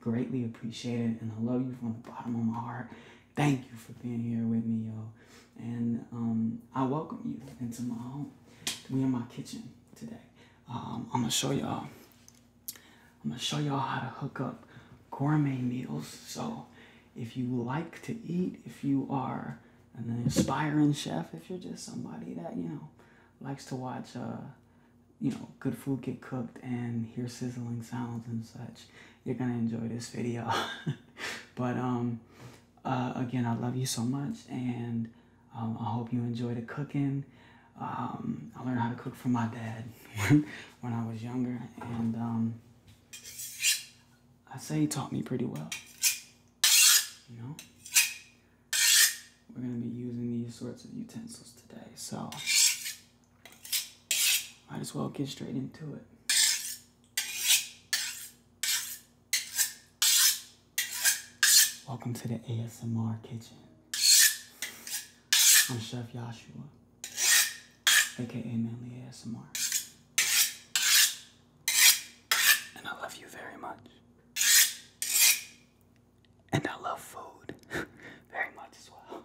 Greatly appreciate it, and I love you from the bottom of my heart. Thank you for being here with me, y'all, And um, I welcome you into my home. to We in my kitchen today. Um, I'm gonna show y'all. I'm gonna show y'all how to hook up gourmet meals. So if you like to eat, if you are an aspiring chef, if you're just somebody that, you know, likes to watch uh, you know, good food get cooked and hear sizzling sounds and such, you're gonna enjoy this video. but um, uh, again, I love you so much, and um, I hope you enjoy the cooking. Um, I learned how to cook from my dad when I was younger, and um, I say he taught me pretty well. You know, we're gonna be using these sorts of utensils today, so might as well get straight into it. Welcome to the ASMR kitchen. I'm Chef Joshua, aka Manly ASMR. And I love you very much. And I love food very much as well.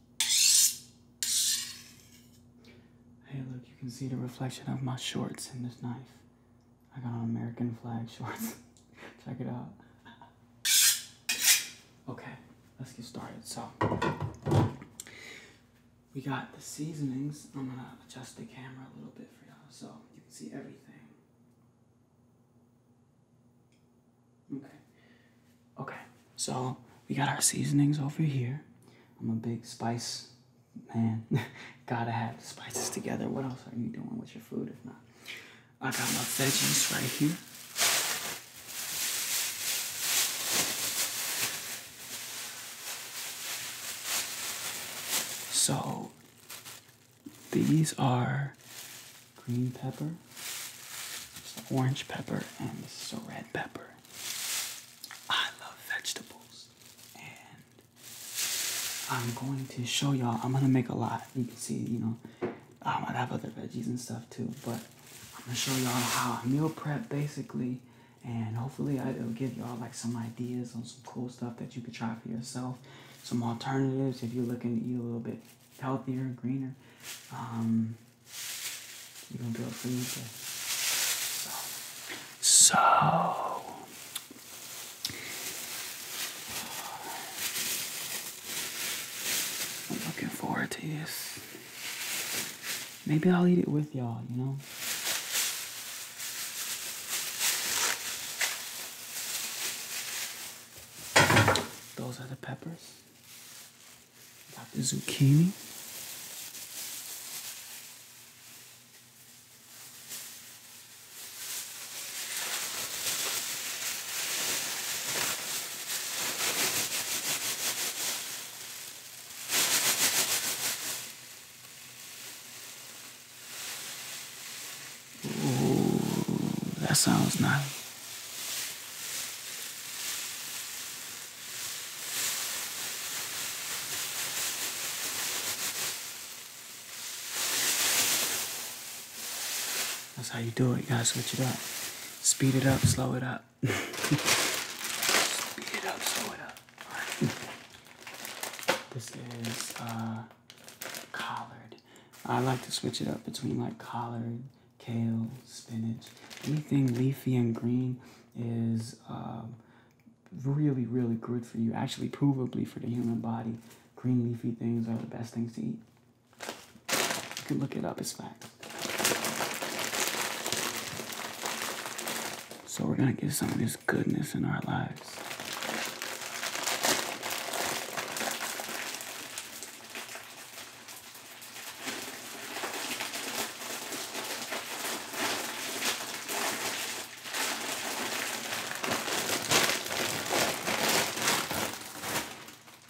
Hey, look, you can see the reflection of my shorts in this knife. I got on American flag shorts. Check it out. Okay, let's get started. So, we got the seasonings. I'm gonna adjust the camera a little bit for y'all so you can see everything. Okay, Okay, so we got our seasonings over here. I'm a big spice man. Gotta have spices together. What else are you doing with your food if not? I got my veggies right here. So these are green pepper, orange pepper, and this red pepper. I love vegetables and I'm going to show y'all. I'm gonna make a lot. You can see, you know, um, I might have other veggies and stuff too, but I'm gonna show y'all how I meal prep basically, and hopefully I, it'll give y'all like some ideas on some cool stuff that you could try for yourself, some alternatives if you're looking to eat a little bit healthier, greener. Um, you gonna do it for me, okay? So, I'm looking forward to this. Maybe I'll eat it with y'all, you know? Those are the peppers. Got the zucchini. Ooh, that sounds nice. That's how you do it. guys. switch it up. Speed it up, slow it up. Speed it up, slow it up. Right. This is uh, collard. I like to switch it up between like collard, kale, spinach, anything leafy and green is um, really, really good for you. Actually, provably for the human body, green leafy things are the best things to eat. You can look it up, it's fact. So we're gonna get some of this goodness in our lives.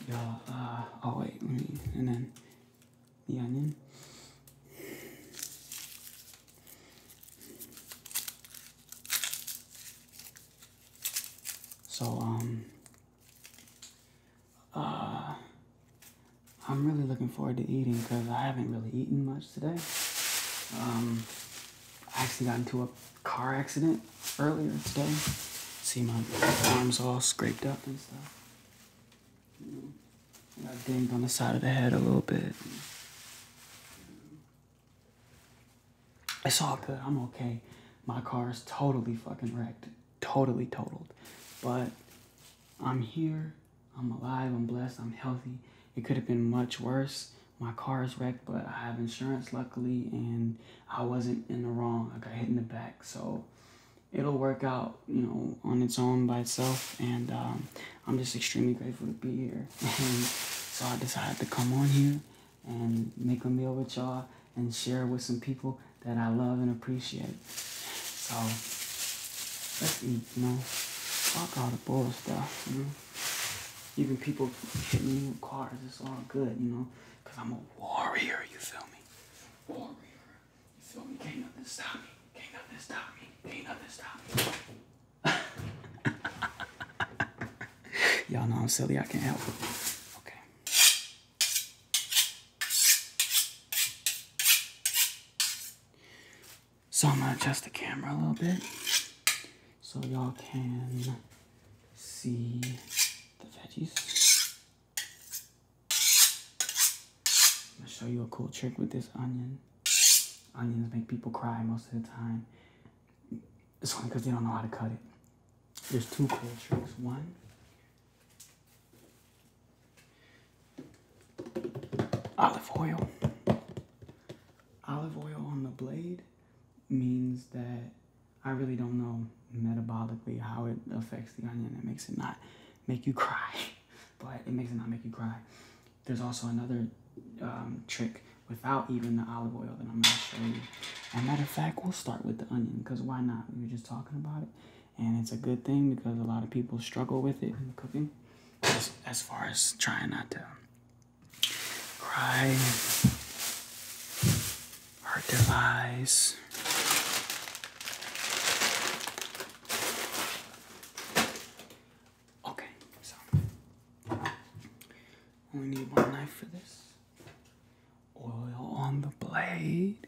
Yeah, uh, oh wait, and then the onion. So, um, uh, I'm really looking forward to eating because I haven't really eaten much today. Um, I actually got into a car accident earlier today. See my arms all scraped up and stuff. and I banged on the side of the head a little bit. It's all good. I'm okay. My car is totally fucking wrecked. Totally totaled. But I'm here I'm alive, I'm blessed, I'm healthy. It could have been much worse. My car is wrecked, but I have insurance, luckily, and I wasn't in the wrong. I got hit in the back, so it'll work out, you know, on its own by itself. And um, I'm just extremely grateful to be here. so I decided to come on here and make a meal with y'all and share with some people that I love and appreciate. So let's eat, you know. Fuck all the bull stuff, you know. Even people hitting me with cars, it's all good, you know. Cause I'm a warrior, you feel me? Warrior. You feel me? Can't nothing stop me. Can't nothing stop me. Can't nothing stop me. Y'all know I'm silly, I can't help it. Okay. So I'm gonna adjust the camera a little bit so y'all can see the veggies. I'm gonna show you a cool trick with this onion. Onions make people cry most of the time. It's only because they don't know how to cut it. There's two cool tricks. One Olive oil. Olive oil on the blade means that I really don't know metabolically how it affects the onion. It makes it not make you cry, but it makes it not make you cry. There's also another um, trick without even the olive oil that I'm going to show you. And matter of fact, we'll start with the onion because why not? We were just talking about it and it's a good thing because a lot of people struggle with it in cooking as, far as trying not to cry hurt their eyes okay so only need one knife for this oil on the blade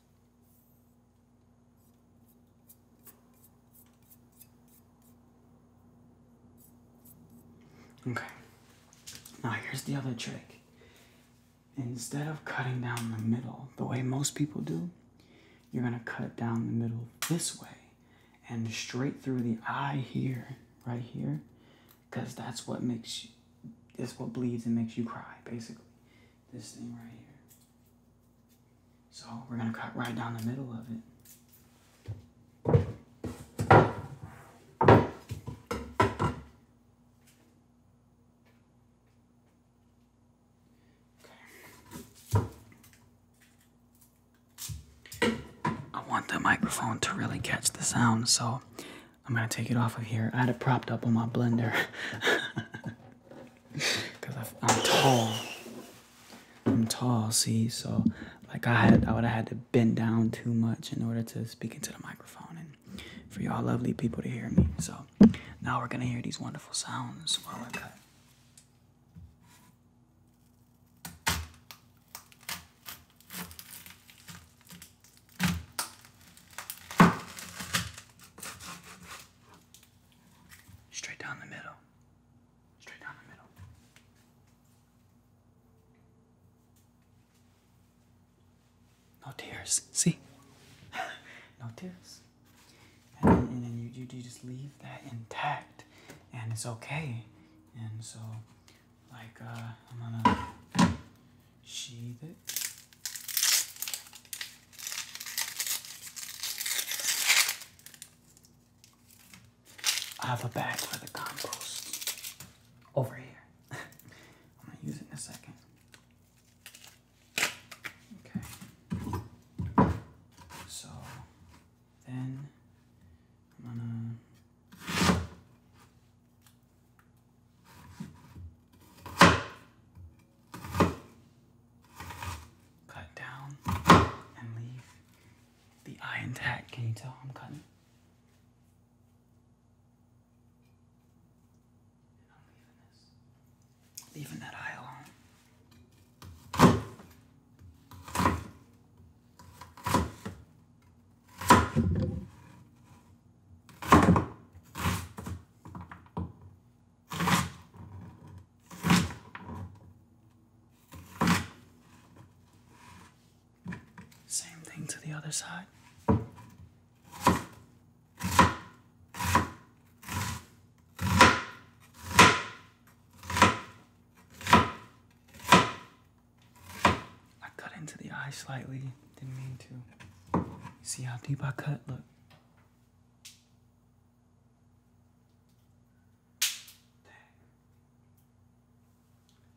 Okay. Now here's the other trick. Instead of cutting down the middle the way most people do, you're gonna cut down the middle this way and straight through the eye here, right here, because that's what makes you, what bleeds and makes you cry, basically. This thing right here. So we're going to cut right down the middle of it. I want the microphone to really catch the sound, so I'm gonna take it off of here. I had it propped up on my blender. because I'm tall. I'm tall, see, so like I had, I would have had to bend down too much in order to speak into the microphone and for y'all lovely people to hear me. So now we're gonna hear these wonderful sounds while cut. Straight down the middle. Straight down the middle. No tears. See? no tears. And then, you, you just leave that intact. And it's okay. And so, like, uh, I'm gonna sheathe it. I have a bag for the compost over here. I'm gonna use it in a second. Okay. So then I'm gonna Cut down and leave the eye intact. Can you tell I'm cutting? Leaving that eye alone. Same thing to the other side. I cut into the eye slightly, didn't mean to. See how deep I cut? Look.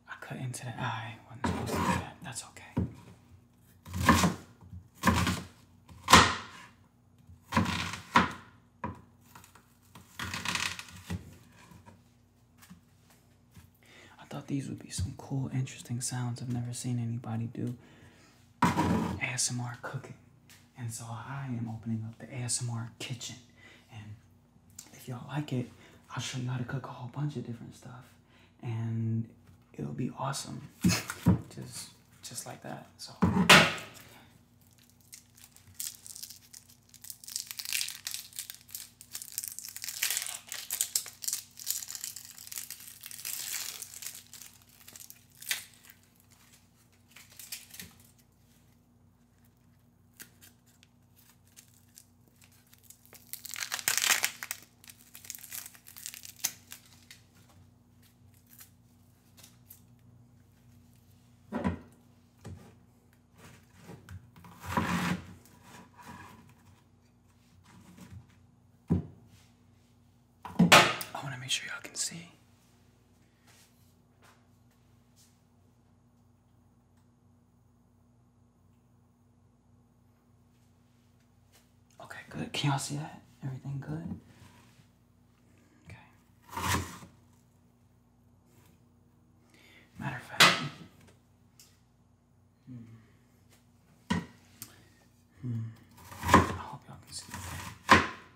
I cut into the eye. Wasn't supposed to these would be some cool, interesting sounds I've never seen anybody do. ASMR cooking. And so I am opening up the ASMR kitchen. And if y'all like it, I'll show you how to cook a whole bunch of different stuff. And it'll be awesome. just just like that. So I want to make sure y'all can see Okay, good. Can y'all see that? Everything good? Okay. Matter of fact. Hmm. Hmm. I hope y'all can see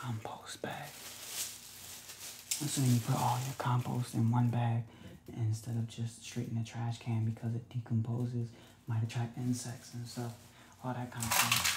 Compost bag. That's when you put all your compost in one bag instead of just straight in the trash can because it decomposes, might attract insects and stuff, all that kind of stuff.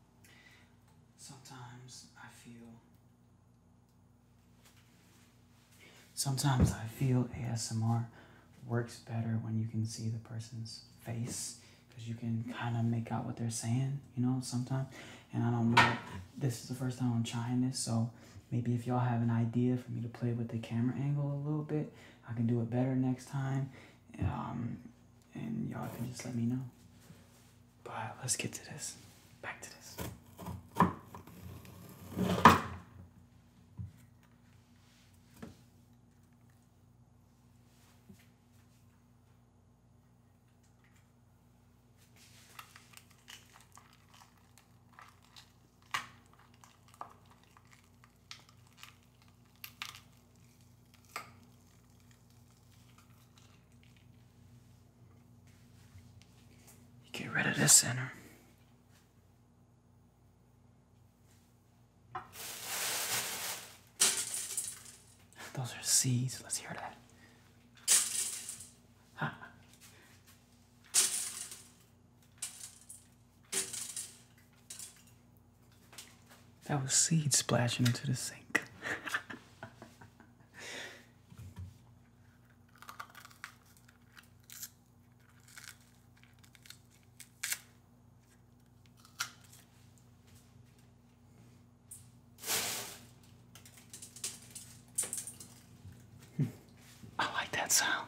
Sometimes I feel. Sometimes I feel ASMR works better when you can see the person's face because you can kind of make out what they're saying, you know, sometimes. And I don't know, this is the first time I'm trying this, so maybe if y'all have an idea for me to play with the camera angle a little bit, I can do it better next time. Um, and y'all can just let me know. But let's get to this. Back to this. Get rid of this center. Those are seeds. Let's hear that. Huh. That was seed splashing into the sink. I like that sound.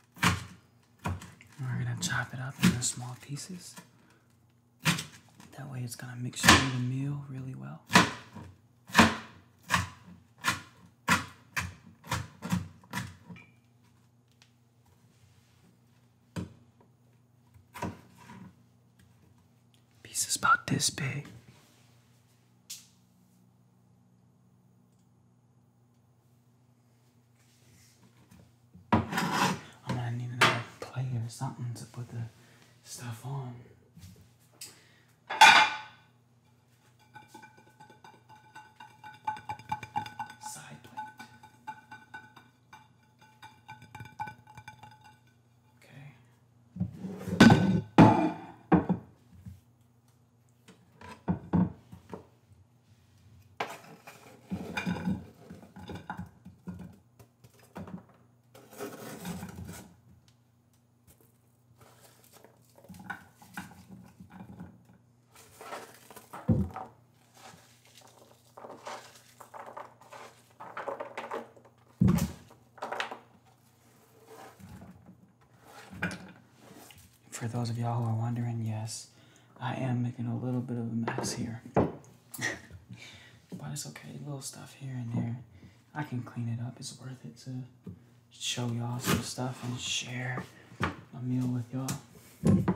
We're gonna chop it up into small pieces. That way it's gonna mix through the meal really well. Pieces about this big. I'm gonna need another plate or something to put the stuff on. Side plate. Okay. For those of y'all who are wondering, yes, I am making a little bit of a mess here. but it's okay, little stuff here and there. I can clean it up. It's worth it to show y'all some stuff and share a meal with y'all.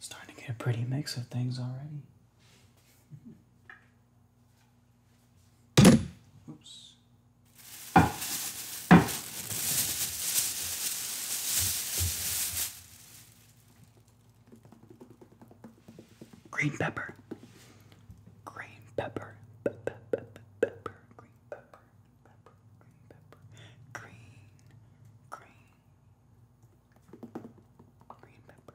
Starting to get a pretty mix of things already. Oops. Green pepper. Green pepper. Pepper, pepper, pepper, green pepper, pepper, green pepper, green, green, green pepper.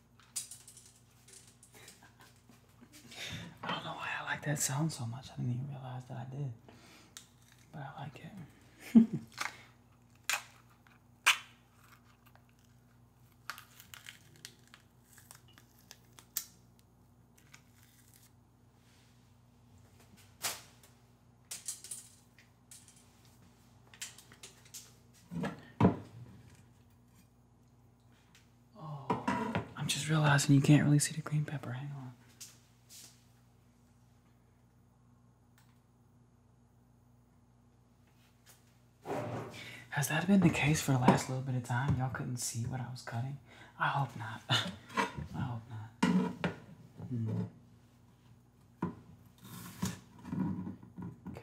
I don't know why I like that sound so much. I didn't even realize that I did. But I like it. Oh, I'm just realizing you can't really see the green pepper. Hang on. Has that been the case for the last little bit of time? Y'all couldn't see what I was cutting? I hope not. I hope not. Hmm. Okay.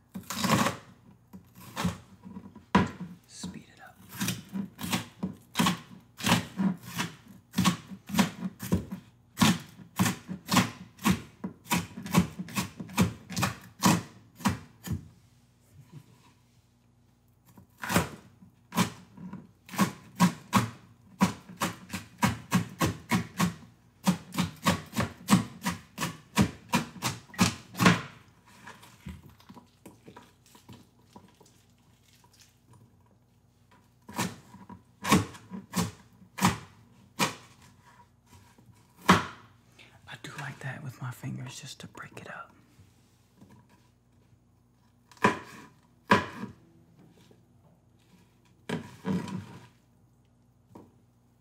Speed it up. I do like that with my fingers just to break it up.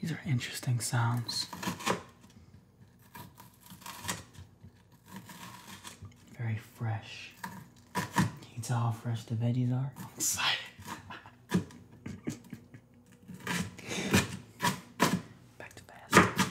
These are interesting sounds. Very fresh. Can you tell how fresh the veggies are? excited. Back to basket.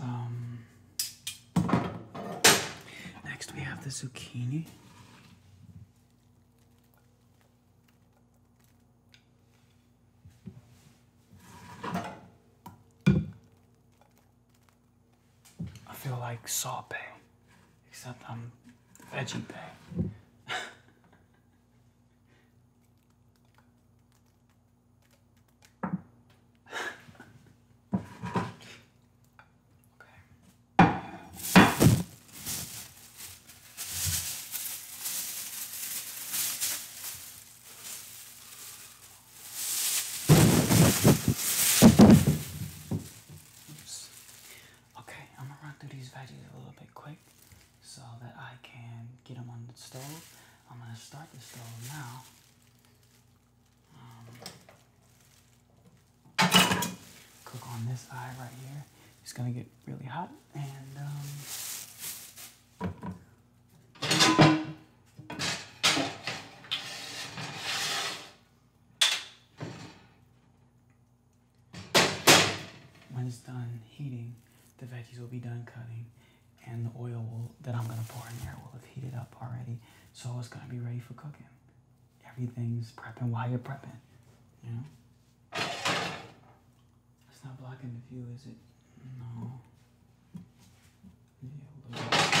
Um, next, we have the zucchini. I feel like sorbet, except I'm veggie pay. Okay, I'm gonna run through these veggies a little bit quick so that I can get them on the stove I'm going to start the stove now. Um, cook on this eye right here. It's going to get really hot and um, when it's done heating, the veggies will be done cutting and the oil that I'm gonna pour in there will have heated up already. So it's gonna be ready for cooking. Everything's prepping while you're prepping, you know? It's not blocking the view, is it? No. okay.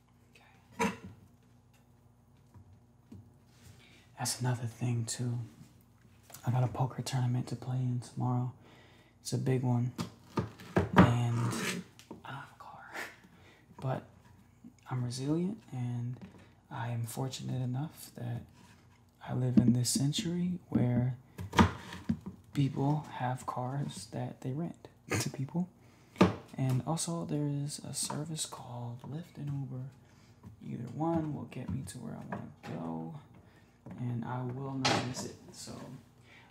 That's another thing too. I got a poker tournament to play in tomorrow. It's a big one. And I have a car. But I'm resilient and I am fortunate enough that I live in this century where people have cars that they rent to people and also, there is a service called Lyft and Uber. Either one will get me to where I want to go, and I will not miss it. So,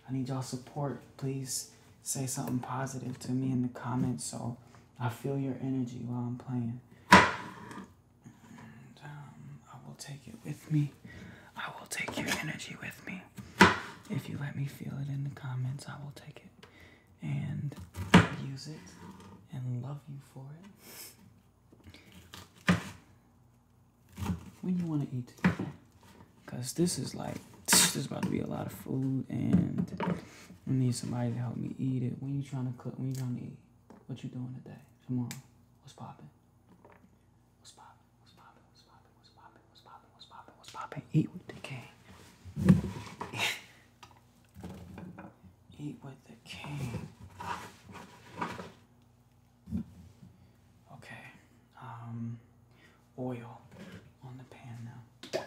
I need y'all support. Please say something positive to me in the comments so I feel your energy while I'm playing. Um, I will take it with me. I will take your energy with me. If you let me feel it in the comments, I will take it and use it and love you for it. When you want to eat because this is like, this is about to be a lot of food and I need somebody to help me eat it. When you trying to cook, when you trying to eat, what you doing today, tomorrow, what's popping? What's popping? What's popping? What's popping? What's popping? What's popping? Eat with the gang. Eat with the king. Okay. Um, oil on the pan now.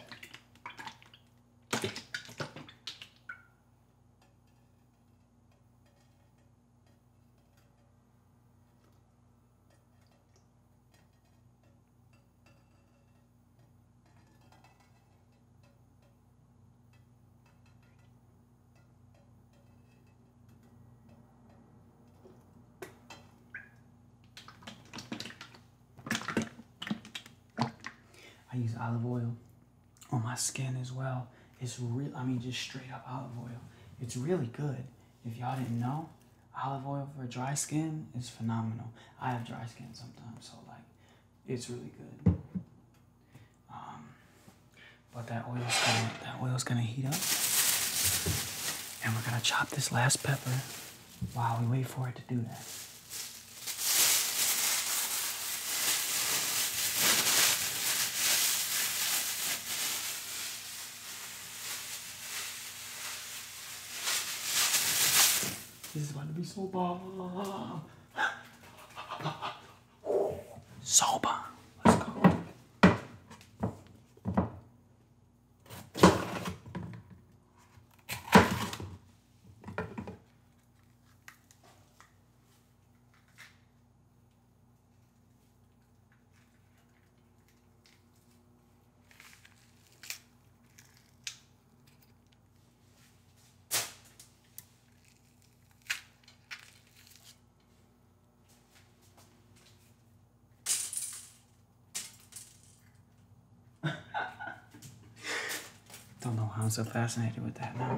I use olive oil on my skin as well. It's real, I mean, just straight up olive oil. It's really good. If y'all didn't know, olive oil for dry skin is phenomenal. I have dry skin sometimes, so like it's really good. Um, but that oil's gonna that oil's gonna heat up, and we're gonna chop this last pepper while we wait for it to do that. This is going to be so bomb. So bomb. Let's go. Don't know how I'm so fascinated with that now.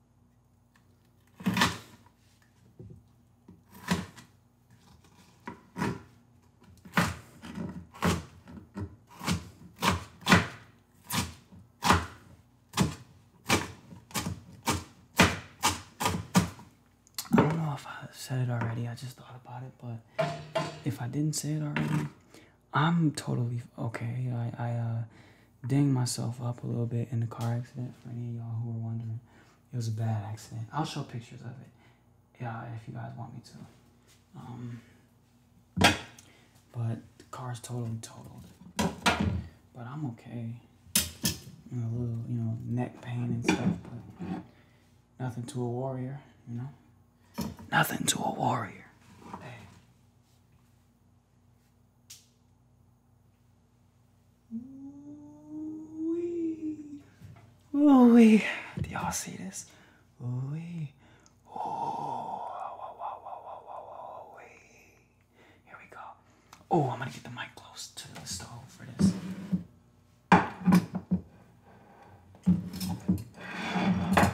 I don't know if I said it already, I just thought about it, but if I didn't say it already, I'm totally okay. I, uh, Dinged myself up a little bit in the car accident. For any of y'all who were wondering, it was a bad accident. I'll show pictures of it, yeah, if you guys want me to. Um, but the car's totally totaled. But I'm okay. a little, you know, neck pain and stuff, but nothing to a warrior, you know. Nothing to a warrior. Ooh wee. Do y'all see this? Ooh wee. Ooh. Here we go. Oh, I'm gonna get the mic close to the stove for this. Okay.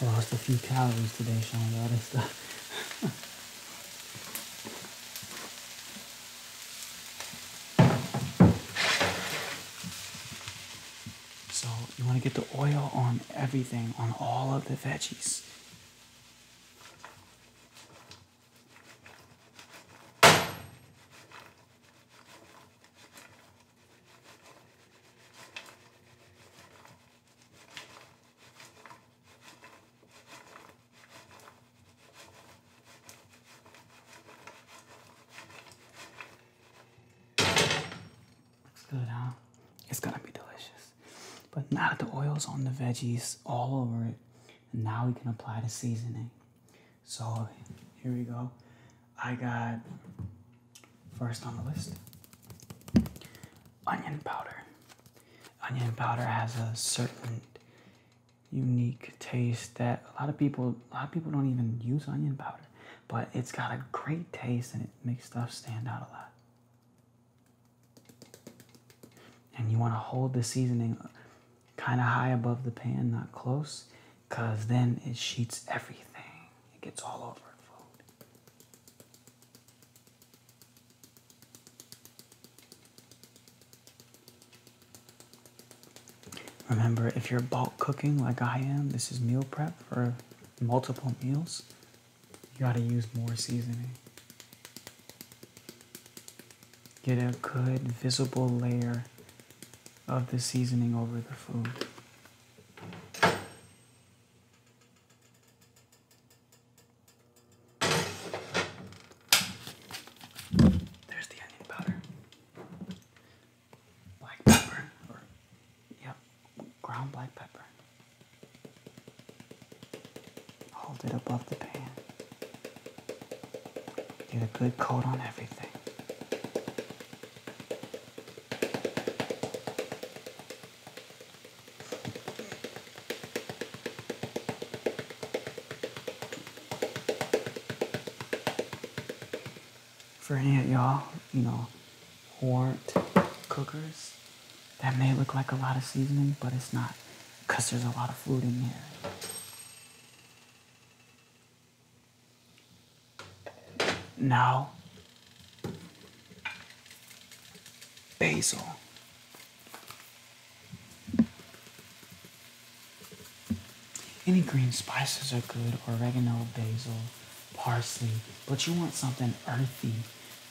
I lost a few calories today, Sean, all this stuff. so you want to get the oil on everything, on all of the veggies. Good, huh? It's gonna be delicious. But now that the oil's on the veggies all over it, and now we can apply the seasoning. So here we go. I got first on the list onion powder. Onion powder has a certain unique taste that a lot of people a lot of people don't even use onion powder, but it's got a great taste and it makes stuff stand out a lot. And you want to hold the seasoning kind of high above the pan, not close, because then it sheets everything. It gets all over food. Remember, if you're bulk cooking like I am, this is meal prep for multiple meals, you gotta use more seasoning get a good visible layer of the seasoning over the food. There's the onion powder, black pepper, or, yep, ground black pepper. Hold it above the pan. Get a good coat on everything. For any of y'all, you know, who aren't cookers, that may look like a lot of seasoning, but it's not because there's a lot of food in here. Now, basil. Any green spices are good oregano, basil, parsley, but you want something earthy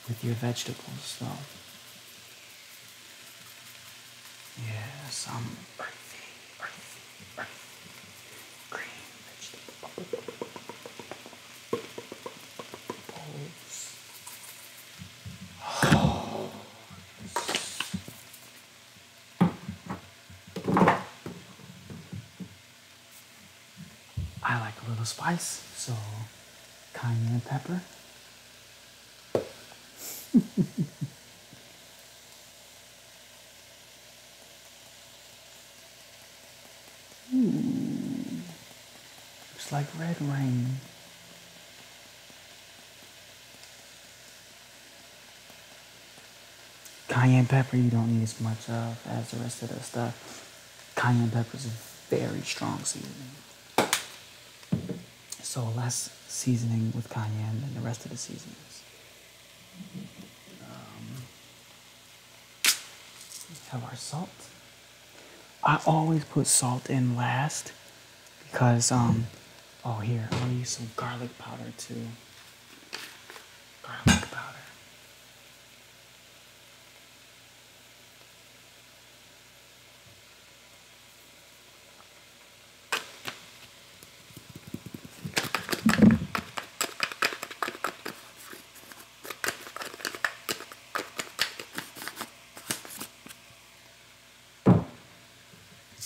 with your vegetables, though. Yes, i earthy, earthy, earthy, green vegetables. Oh, I like a little spice, so cayenne pepper. It's hmm. like red rain. Cayenne pepper you don't need as much of as the rest of the stuff. Cayenne pepper is very strong seasoning. So less seasoning with cayenne than the rest of the seasonings. Um, have our salt. I always put salt in last because, um, oh here, I'm gonna use some garlic powder too. Garlic powder.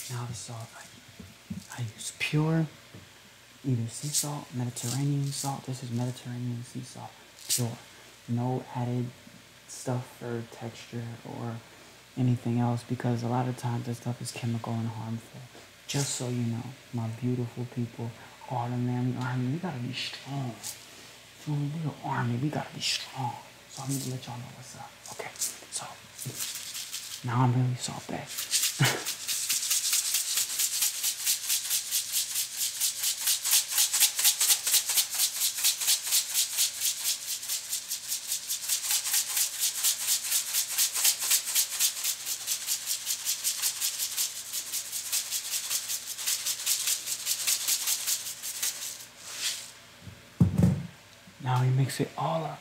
Now the salt I, use pure either sea salt, Mediterranean salt. This is Mediterranean sea salt, pure. No added stuff for texture or anything else because a lot of times that stuff is chemical and harmful. Just so you know, my beautiful people, all the man army, we gotta be strong. We're an army, we gotta be strong. So I need to let y'all know what's up. Okay, so now I'm really soft back. Now you mix it all up.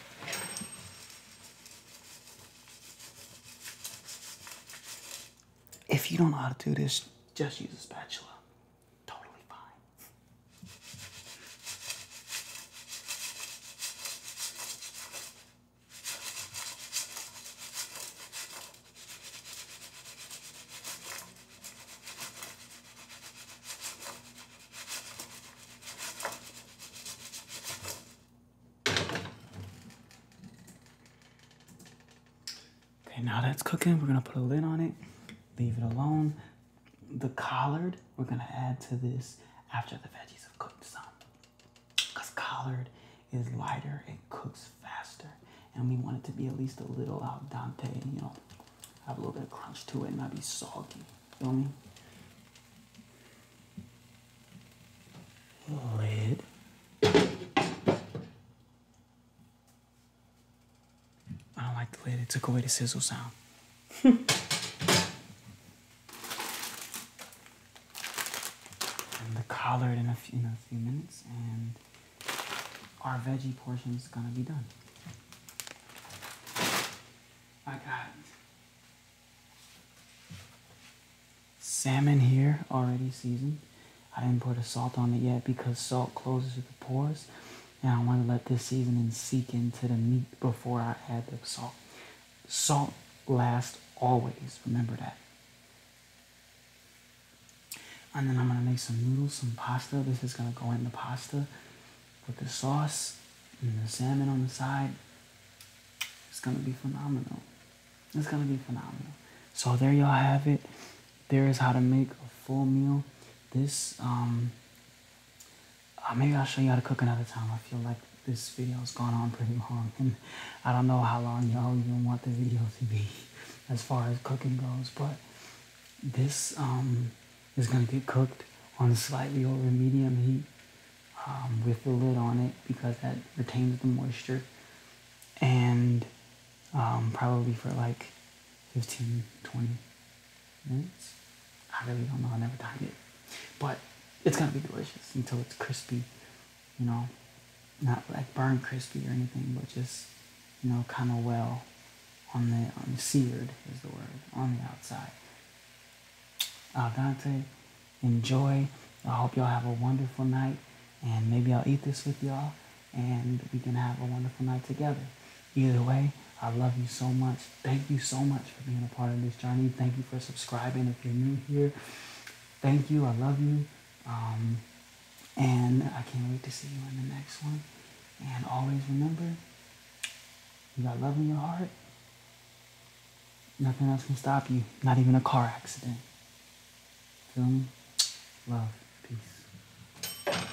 If you don't know how to do this, just use a spatula. Okay, now that's cooking, we're gonna put a lid on it, leave it alone the collard we're gonna add to this after the veggies have cooked some. Because collard is lighter, it cooks faster, and we want it to be at least a little al dente, you know, have a little bit of crunch to it and not be soggy. Feel me? Lid. I don't like the lid. It took away the sizzle sound. and the collard in a, few, in a few minutes, and our veggie portion is gonna be done. I got salmon here already seasoned. I didn't put a salt on it yet because salt closes the pores and I want to let this seasoning seep into the meat before I add the salt. Salt last, always, remember that. And then I'm going to make some noodles, some pasta. This is going to go in the pasta with the sauce and the salmon on the side. It's going to be phenomenal. It's going to be phenomenal. So there y'all have it. There is how to make a full meal. This um, uh, maybe I'll show you how to cook another time. I feel like this video's gone on pretty long, and I don't know how long y'all even want the video to be as far as cooking goes, but this um, is going to get cooked on slightly over medium heat um, with the lid on it because that retains the moisture and um, probably for like 15, 20, Mm. I really don't know. I never tried it, but it's gonna be delicious until it's crispy. You know, not like burn crispy or anything, but just you know, kind of well on the on the seared is the word on the outside. Al dente, enjoy. I hope y'all have a wonderful night, and maybe I'll eat this with y'all, and we can have a wonderful night together. Either way, I love you so much. Thank you so much for being a part of this journey. Thank you for subscribing if you're new here. Thank you. I love you. Um, and I can't wait to see you in the next one. And always remember, you got love in your heart. Nothing else can stop you, not even a car accident. Feel me? Love. Peace.